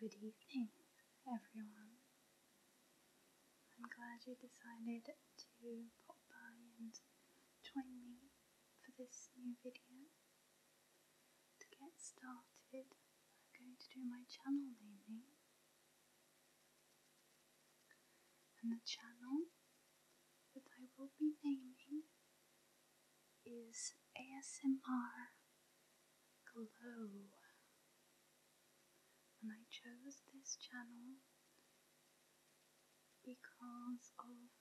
Good evening, everyone. I'm glad you decided to pop by and join me for this new video. To get started, I'm going to do my channel naming and the channel that I will be naming is ASMR Glow. And I chose this channel because of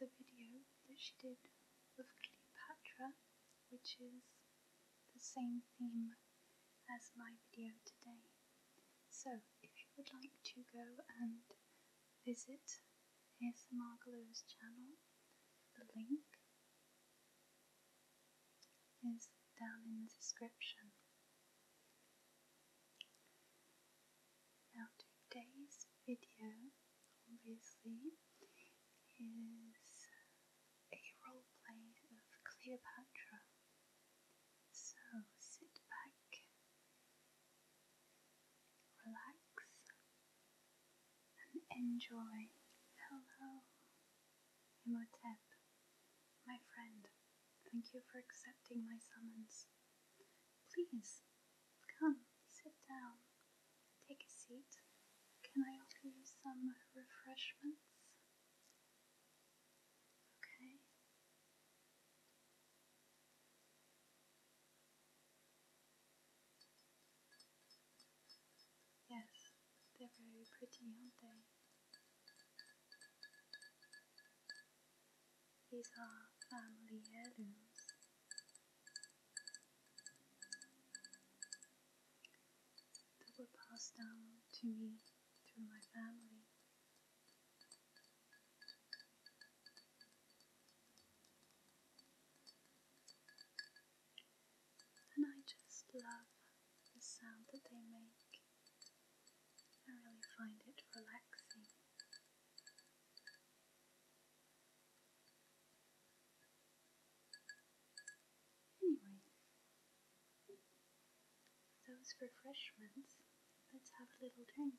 the video that she did of Cleopatra, which is the same theme as my video today. So if you would like to go and visit ASMR Glue's channel, the link is down in the description. Now today's video obviously is a roleplay of Cleopatra. So sit back, relax, and enjoy. Hello, Imhotep, my friend. Thank you for accepting my summons. Please, come, sit down, take a seat. Can I offer you some refreshments? Okay. Yes, they're very pretty, aren't they? These are family heirlooms. That were passed down to me through my family. And I just love the sound that they make. I really find it relaxing. Anyway, those refreshments, let's have a little drink.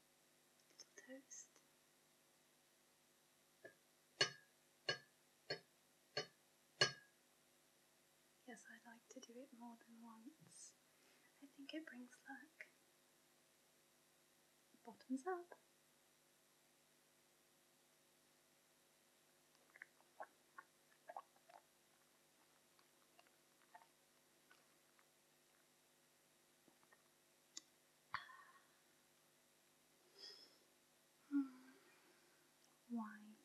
Yes, I like to do it more than once. I think it brings luck. Bottoms up. Wine.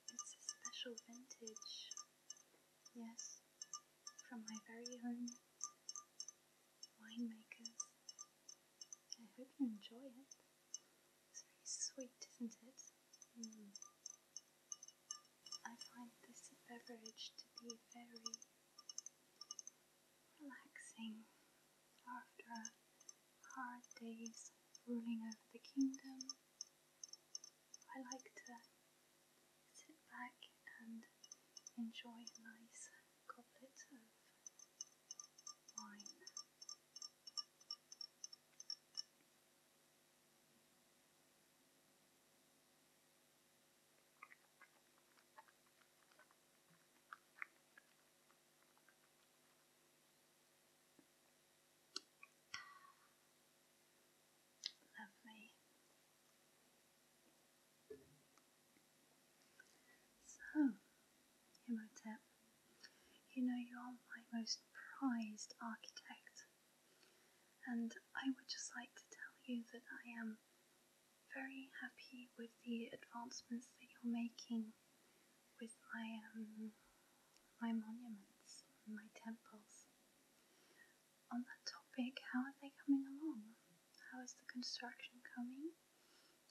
It's a special vintage, yes, from my very own winemakers. I hope you enjoy it. It's very sweet, isn't it? Mm. I find this beverage to be very relaxing after a hard day's ruling over the kingdom. I like to sit back and enjoy a nice goblet of wine. Lovely. So, Hemotep you know, you are my most prized architect, and I would just like to tell you that I am very happy with the advancements that you're making with my um, my monuments and my temples. On that topic, how are they coming along? How is the construction coming?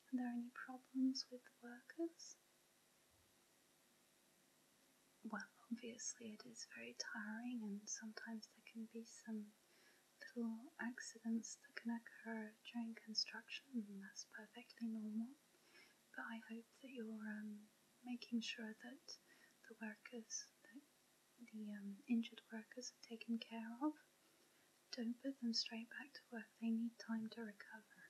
Are there any problems with the workers? well, obviously, it is very tiring, and sometimes there can be some little accidents that can occur during construction, that's perfectly normal. But I hope that you're um, making sure that the workers, the um, injured workers, are taken care of. Don't put them straight back to work, they need time to recover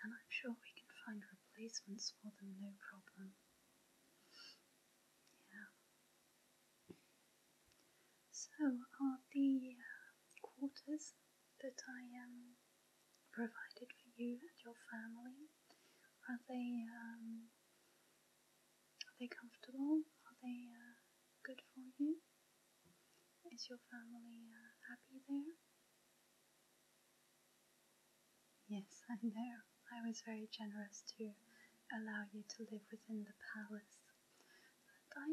and I'm sure we can find replacements for them no problem. Yeah. So are the uh, quarters that I um, provided for you and your family are they um, are they comfortable? Are they uh, good for you? Is your family uh, happy there? Yes, I know. I was very generous to allow you to live within the palace. But I,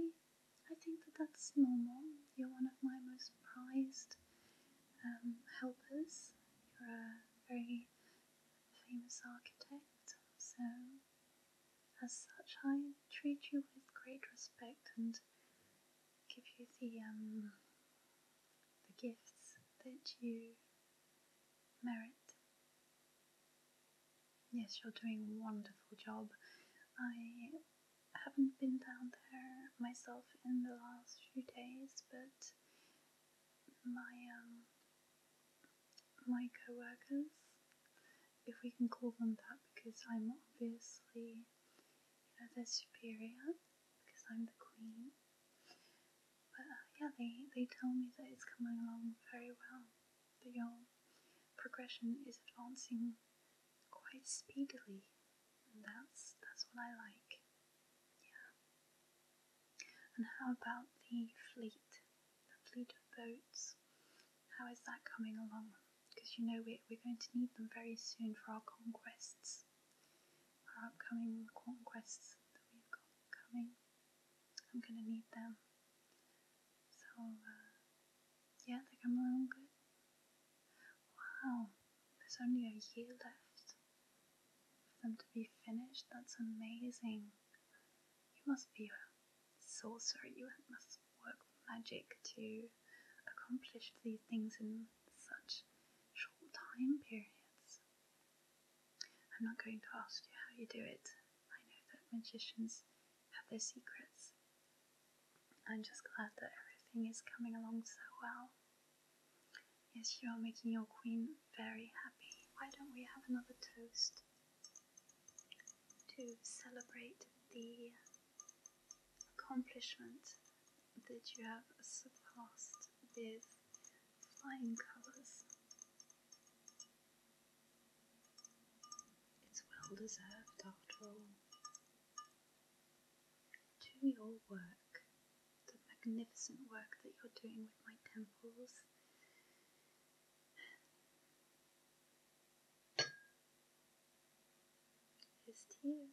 I think that that's normal. You're one of my most prized um, helpers. You're a very famous architect, so as such, I treat you with great respect and give you the um the gifts that you merit. Yes, you're doing a wonderful job. I haven't been down there myself in the last few days, but my um my co-workers, if we can call them that, because I'm obviously you know they superior because I'm the queen. But uh, yeah, they, they tell me that it's coming along very well, The your um, progression is advancing quite speedily, and that's, that's what I like. Yeah. And how about the fleet? The fleet of boats? How is that coming along? because you know we're, we're going to need them very soon for our conquests, our upcoming conquests that we've got coming. I'm going to need them. So, uh, yeah, they come along good. Wow, there's only a year left for them to be finished. That's amazing. You must be a sorcerer, you must work magic to accomplished these things in such short time periods. I'm not going to ask you how you do it. I know that magicians have their secrets. I'm just glad that everything is coming along so well. Yes, you are making your queen very happy. Why don't we have another toast to celebrate the accomplishment that you have surpassed with flying colours. It's well deserved after all. To your work, the magnificent work that you're doing with my temples. Here's to you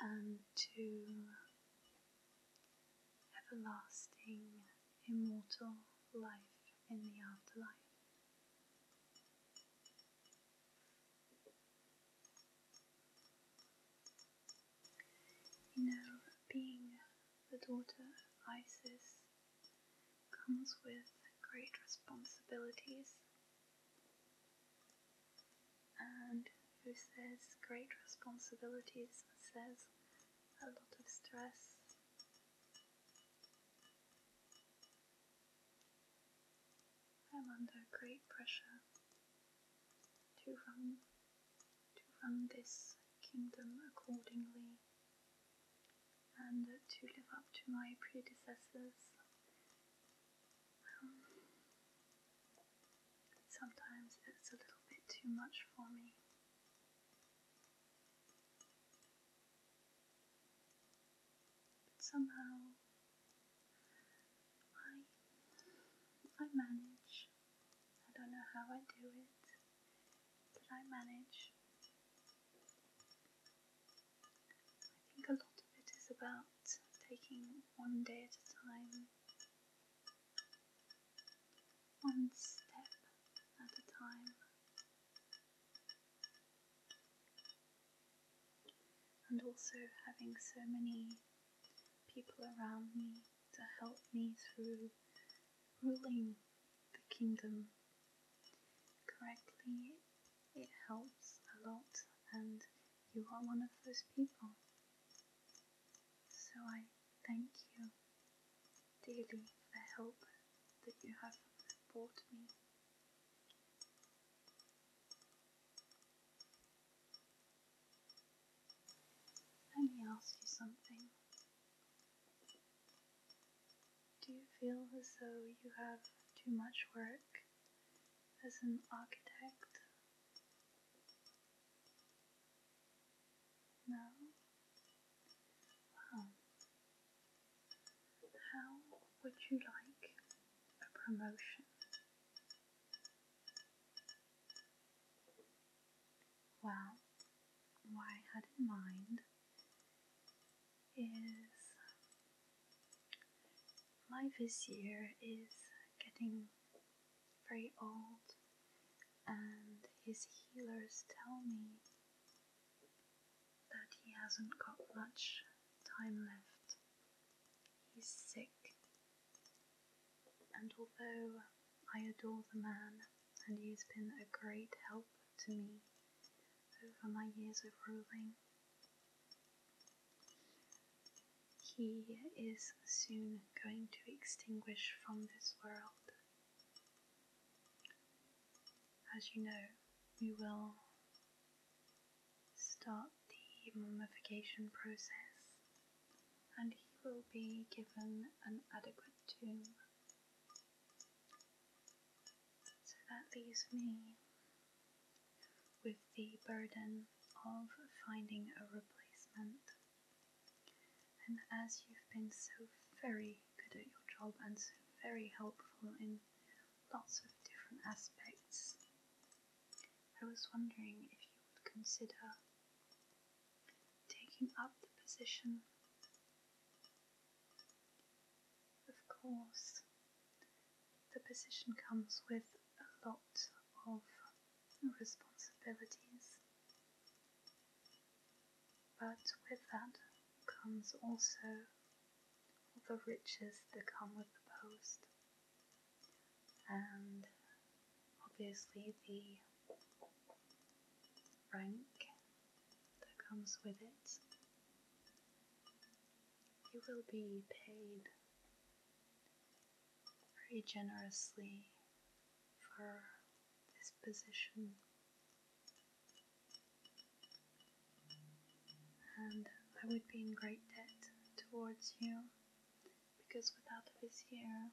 and um, to everlasting, immortal life in the afterlife. You know, being the daughter of Isis comes with great responsibilities. And who says great responsibilities says a lot of stress. I'm under great pressure to run to run this kingdom accordingly and to live up to my predecessors. Um, sometimes it's a little bit too much for me. somehow I I manage. I don't know how I do it. Did I manage? I think a lot of it is about taking one day at a time, one step at a time. And also having so many people around me to help me through ruling the kingdom correctly, it helps a lot, and you are one of those people. So I thank you dearly for the help that you have brought me. Let me ask you something. Do you feel as though you have too much work as an architect? No? Wow. How would you like a promotion? Well, what I had in mind is my vizier is getting very old, and his healers tell me that he hasn't got much time left. He's sick, and although I adore the man, and he has been a great help to me over my years of ruling. He is soon going to extinguish from this world. As you know, we will start the mummification process and he will be given an adequate tomb so that leaves me with the burden of finding a replacement. And as you've been so very good at your job and so very helpful in lots of different aspects, I was wondering if you would consider taking up the position of course, the position comes with a lot of responsibilities, but with that comes also the riches that come with the post, and obviously the rank that comes with it. You will be paid very generously for this position. And I would be in great debt towards you because without a vizier,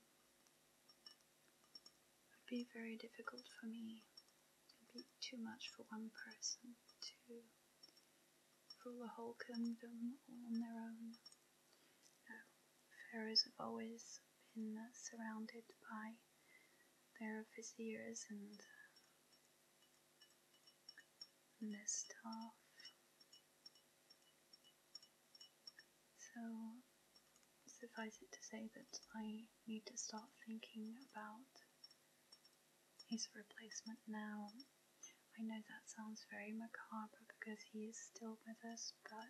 it would be very difficult for me. It'd be too much for one person to rule a whole kingdom all on their own. pharaohs have always been surrounded by their viziers and, and their So suffice it to say that I need to start thinking about his replacement now. I know that sounds very macabre because he is still with us, but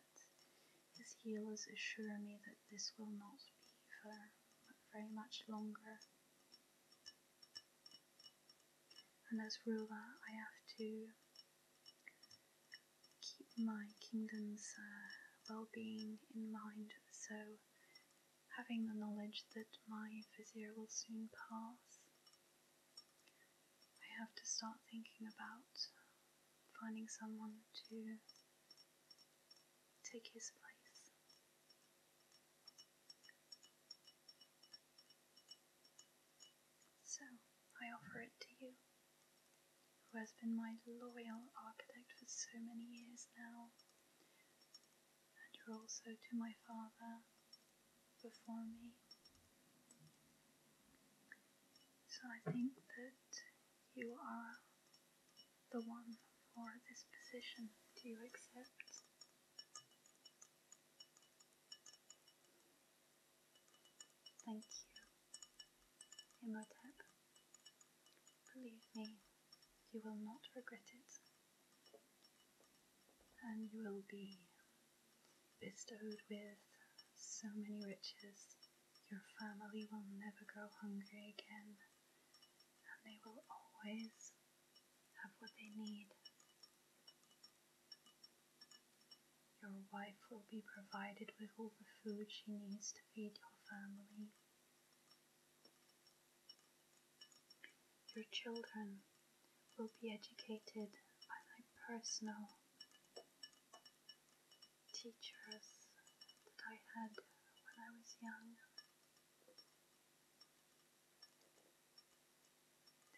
his healers assure me that this will not be for very much longer. And as ruler, I have to keep my kingdom's uh, well being in mind so having the knowledge that my physio will soon pass, I have to start thinking about finding someone to take his place. So I offer it to you who has been my loyal architect for so many years now. And you're also to my father before me. So I think that you are the one for this position. Do you accept? Thank you. Imhotep. Believe me, you will not regret it. And you will be bestowed with so many riches. Your family will never go hungry again, and they will always have what they need. Your wife will be provided with all the food she needs to feed your family. Your children will be educated by my personal teachers that I had when I was young.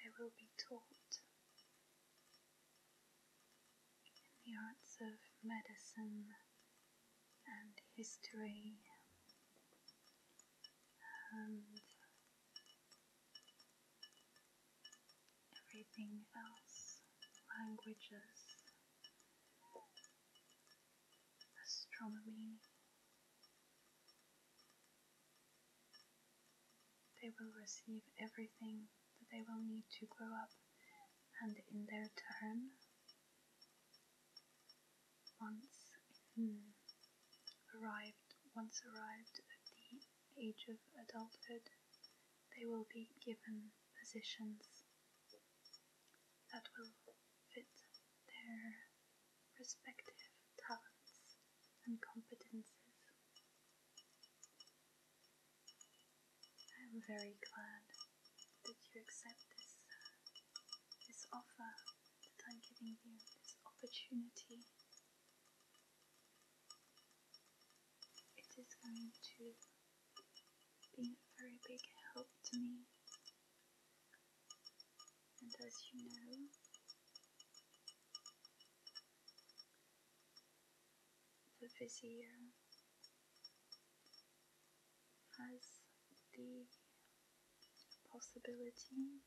They will be taught in the arts of medicine and history and everything else, languages, astronomy. They will receive everything that they will need to grow up, and in their turn, once hmm, arrived once arrived at the age of adulthood, they will be given positions that will fit their respective talents and competences. I'm very glad that you accept this, uh, this offer that I'm giving you, this opportunity. It is going to be a very big help to me. And as you know, the physio has the possibility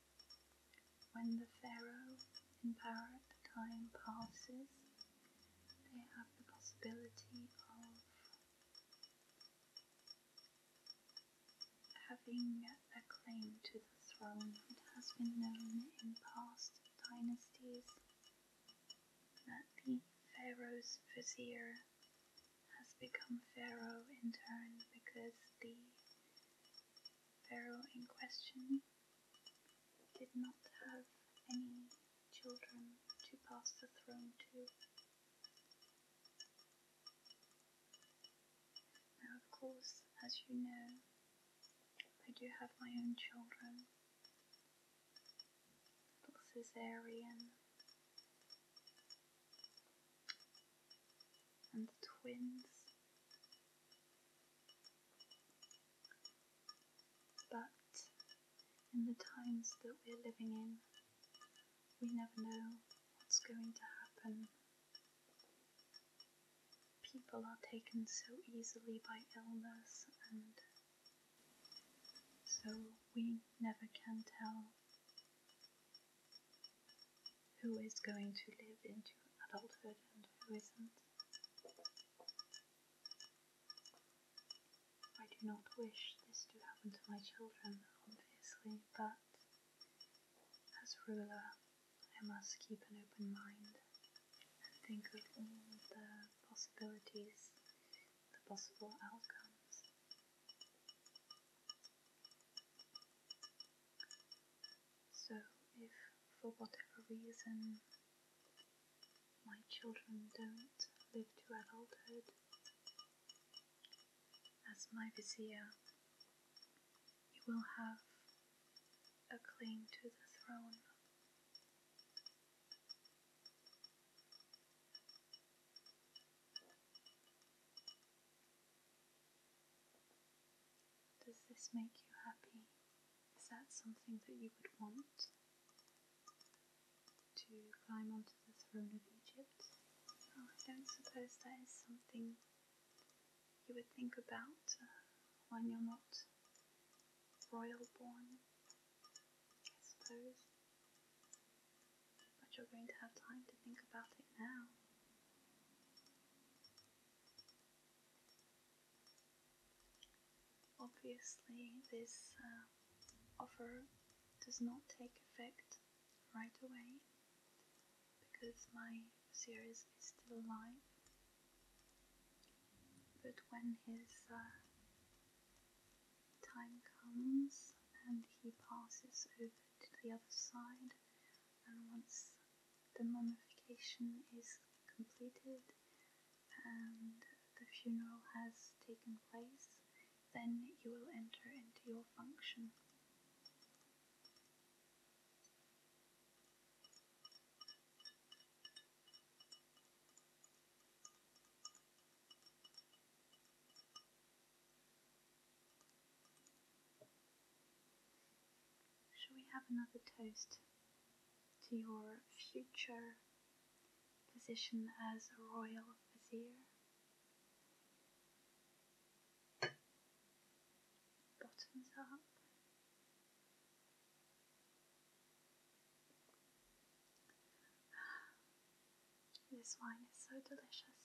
when the pharaoh in power the time passes, they have the possibility of having a claim to the throne. It has been known in past dynasties that the pharaoh's vizier has become pharaoh in turn because the pharaoh in question did not have any children to pass the throne to. Now, of course, as you know, I do have my own children, Little Caesarean. And twins. But in the times that we're living in, we never know what's going to happen. People are taken so easily by illness and so we never can tell who is going to live into adulthood and who isn't. I do not wish this to happen to my children, obviously, but as ruler, I must keep an open mind and think of all the possibilities the possible outcomes. So, if for whatever reason my children don't live to adulthood, as my vizier, you will have a claim to the throne. Does this make you happy? Is that something that you would want? To climb onto the throne of Egypt? I don't suppose that is something you would think about uh, when you're not royal born. I suppose. But you're going to have time to think about it now. Obviously, this uh, offer does not take effect right away because my series is still alive. But when his uh, time comes and he passes over to the other side, and once the mummification is completed and the funeral has taken place, then you will enter into your function. Shall we have another toast to your future position as royal vizier? Bottoms up. This wine is so delicious.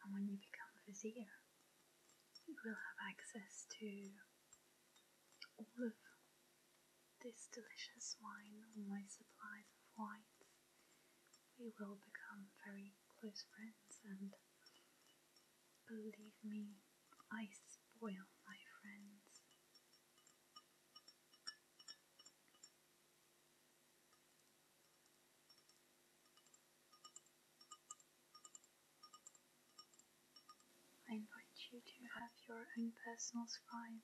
And when you become a vizier, you will have access to all of this delicious wine, all my supplies of wines. We will become very close friends, and believe me, I spoil my friends. I invite you to have your own personal scribe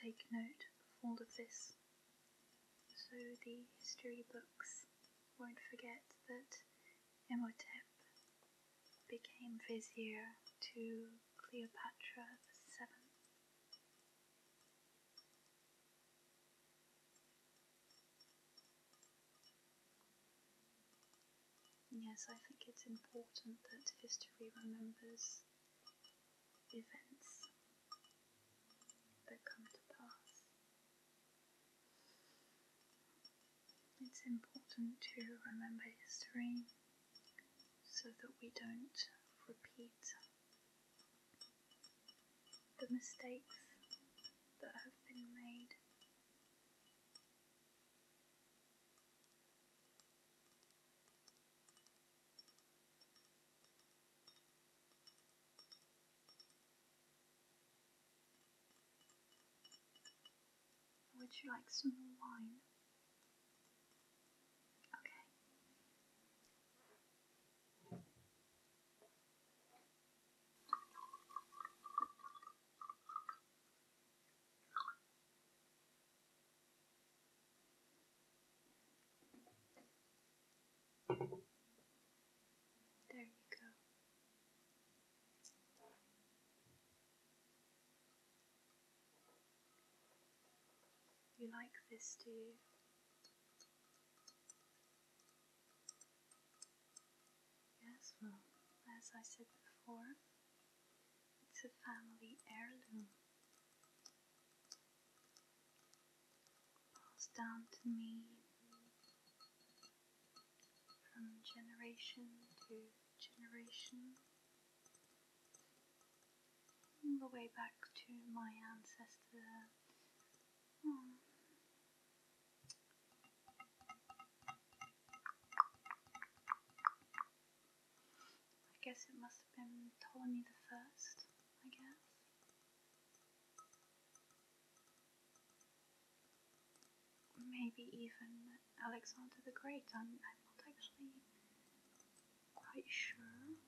take note of all of this so the history books won't forget that Imhotep became vizier to Cleopatra the Seventh. Yes, I think it's important that history remembers events that come to pass. It's important to remember history so that we don't repeat the mistakes that have been made. Would you like some more wine? Okay. There you go. You like this, do you? Yes, well, as I said before, it's a family heirloom. Passed down to me from generation to generation the way back to my ancestor. Hmm. I guess it must have been Ptolemy the First, I guess. Maybe even Alexander the Great. I'm, I'm not actually quite sure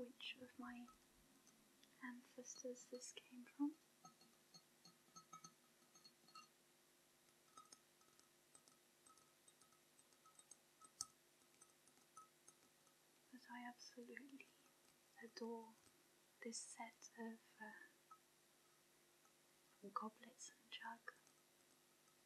which of my ancestors this came from. But I absolutely adore this set of uh, goblets and jug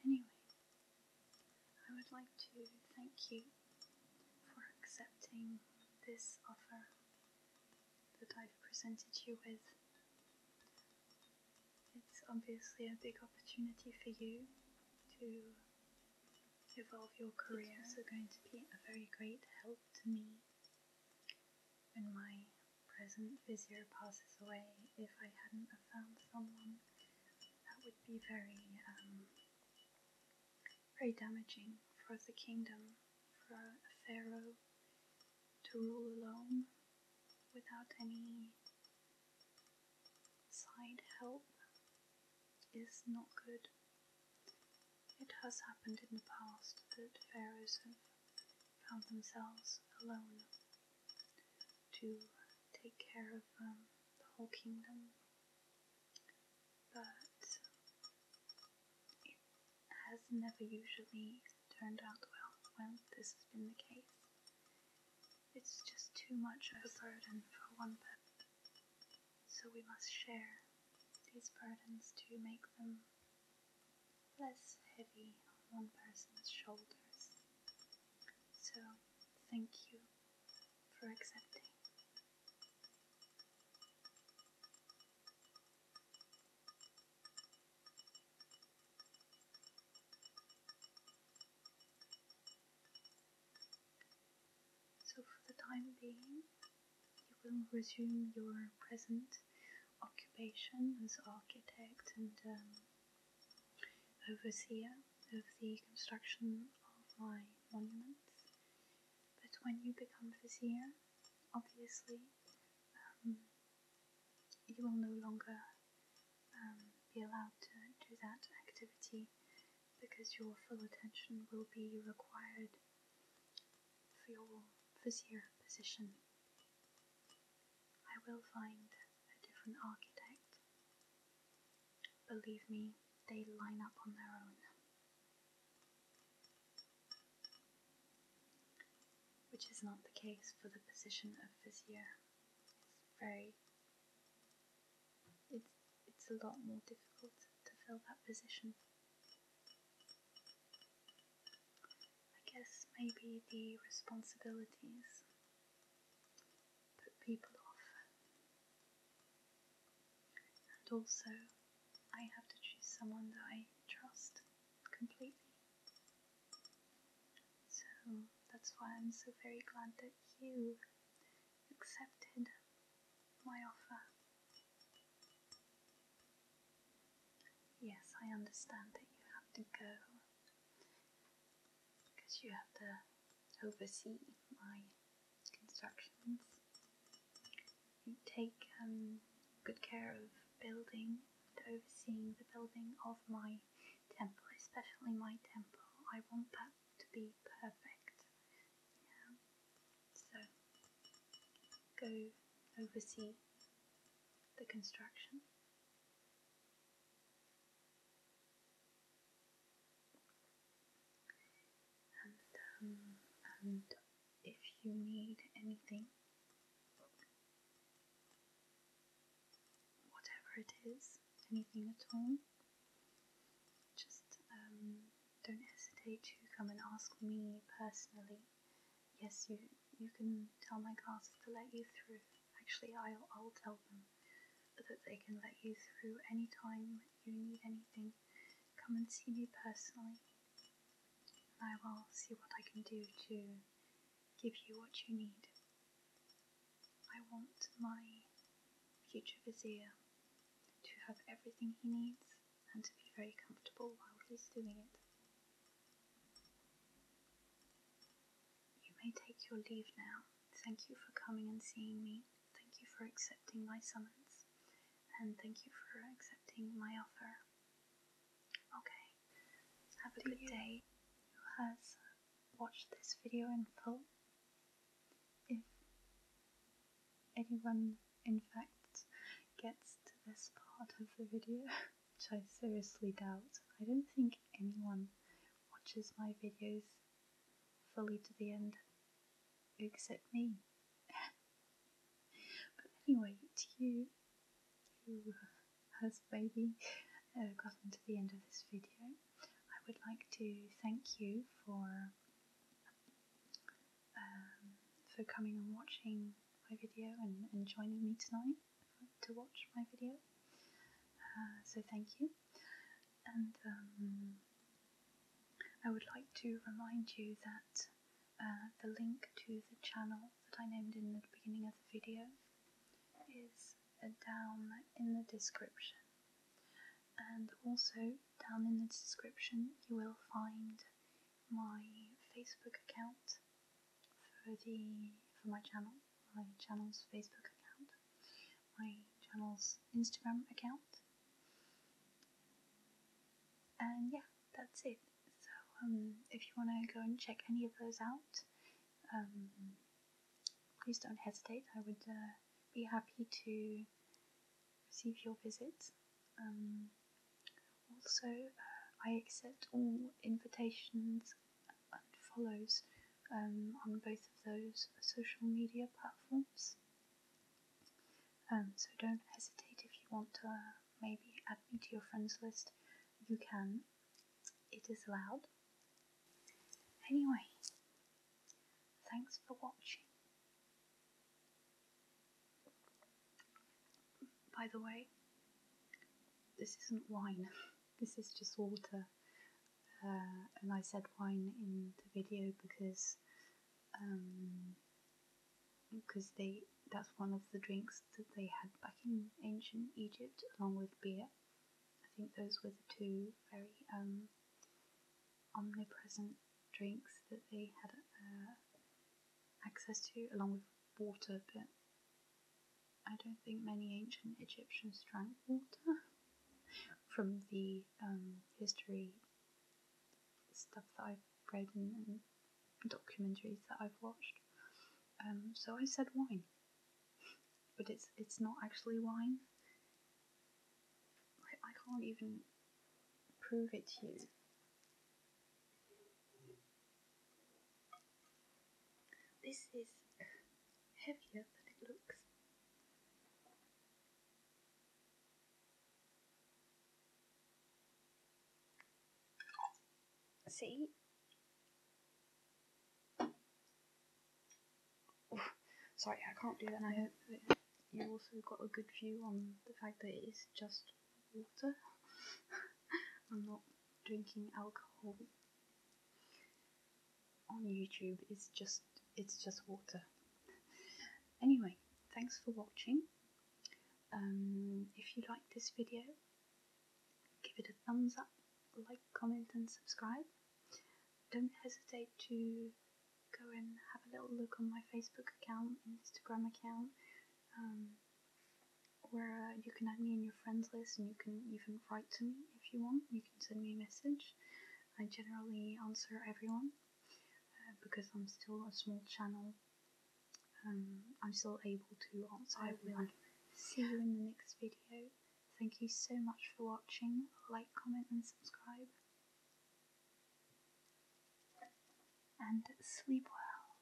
Anyway, I would like to thank you for accepting this offer that I've presented you with. It's obviously a big opportunity for you to evolve your career. It's also going to be a very great help to me when my present physio passes away. If I hadn't found someone, that would be very um, very damaging for the kingdom, for a pharaoh to rule alone without any side help is not good. It has happened in the past that pharaohs have found themselves alone to take care of um, the whole kingdom but it has never usually turned out well when this has been the case. It's just too much of a burden for one person, so we must share these burdens to make them less heavy on one person's shoulders. So, thank you for accepting so, for the time being, you will resume your present occupation as architect and um, overseer of the construction of my monuments. But when you become vizier, obviously, um, you will no longer um, be allowed to do that activity because your full attention will be required for your vizier position. I will find a different architect. Believe me, they line up on their own which is not the case for the position of physio. It's very it's it's a lot more difficult to fill that position. I guess maybe the responsibilities put people off and also I have to choose someone that I trust completely. So that's why I'm so very glad that you accepted my offer. Yes, I understand that you have to go because you have to oversee my constructions. take um, good care of building and overseeing the building of my temple, especially my temple. I want that to be perfect. Yeah. So go oversee the construction. And, um, and if you need anything, whatever it is, anything at all, just um, don't hesitate to come and ask me personally. Yes, you you can tell my classes to let you through. Actually, I'll, I'll tell them that they can let you through any time you need anything. Come and see me personally and I will see what I can do to give you what you need. I want my future vizier to have everything he needs and to be very comfortable while he's doing it. You may take your leave now. Thank you for coming and seeing me. Thank you for accepting my summons and thank you for accepting my offer. Okay, have a Do good day who has watched this video in full. If anyone, in fact, gets to this part of the video, which I seriously doubt, I don't think anyone watches my videos fully to the end except me. But anyway, to you who has maybe uh, gotten to the end of this video, I would like to thank you for um, for coming and watching my video and, and joining me tonight to watch my video. Uh, so thank you, and um, I would like to remind you that uh, the link to the channel that I named in the beginning of the video is uh, down in the description. And also, down in the description, you will find my Facebook account for the for my channel, my channel's Facebook account, my channel's Instagram account, and yeah, that's it. So um, if you want to go and check any of those out, um, please don't hesitate. I would uh, be happy to receive your visit. Um, also, uh, I accept all invitations and follows on both of those social media platforms. Um, so don't hesitate if you want to uh, maybe add me to your friends list. You can, it is allowed. Anyway, thanks for watching. By the way, this isn't wine, this is just water. Uh, and I said wine in the video because um, because they that's one of the drinks that they had back in ancient Egypt along with beer. I think those were the two very um, omnipresent drinks that they had uh, access to along with water but I don't think many ancient Egyptians drank water from the um, history stuff that I've read and, documentaries that I've watched. Um, so I said wine, but it's it's not actually wine. I can't even prove it to you. This is heavier than it looks. See? Sorry, I can't do that. And I hope you also got a good view on the fact that it is just water. I'm not drinking alcohol on YouTube. It's just it's just water. Anyway, thanks for watching. Um, if you like this video, give it a thumbs up, like, comment, and subscribe. Don't hesitate to go and have a little look on my Facebook account Instagram account, um, where uh, you can add me in your friends list and you can even write to me if you want. You can send me a message. I generally answer everyone. Uh, because I'm still a small channel. Um, I'm still able to answer. I will. See you in the next video. Thank you so much for watching. Like, comment, and subscribe. And sleep well.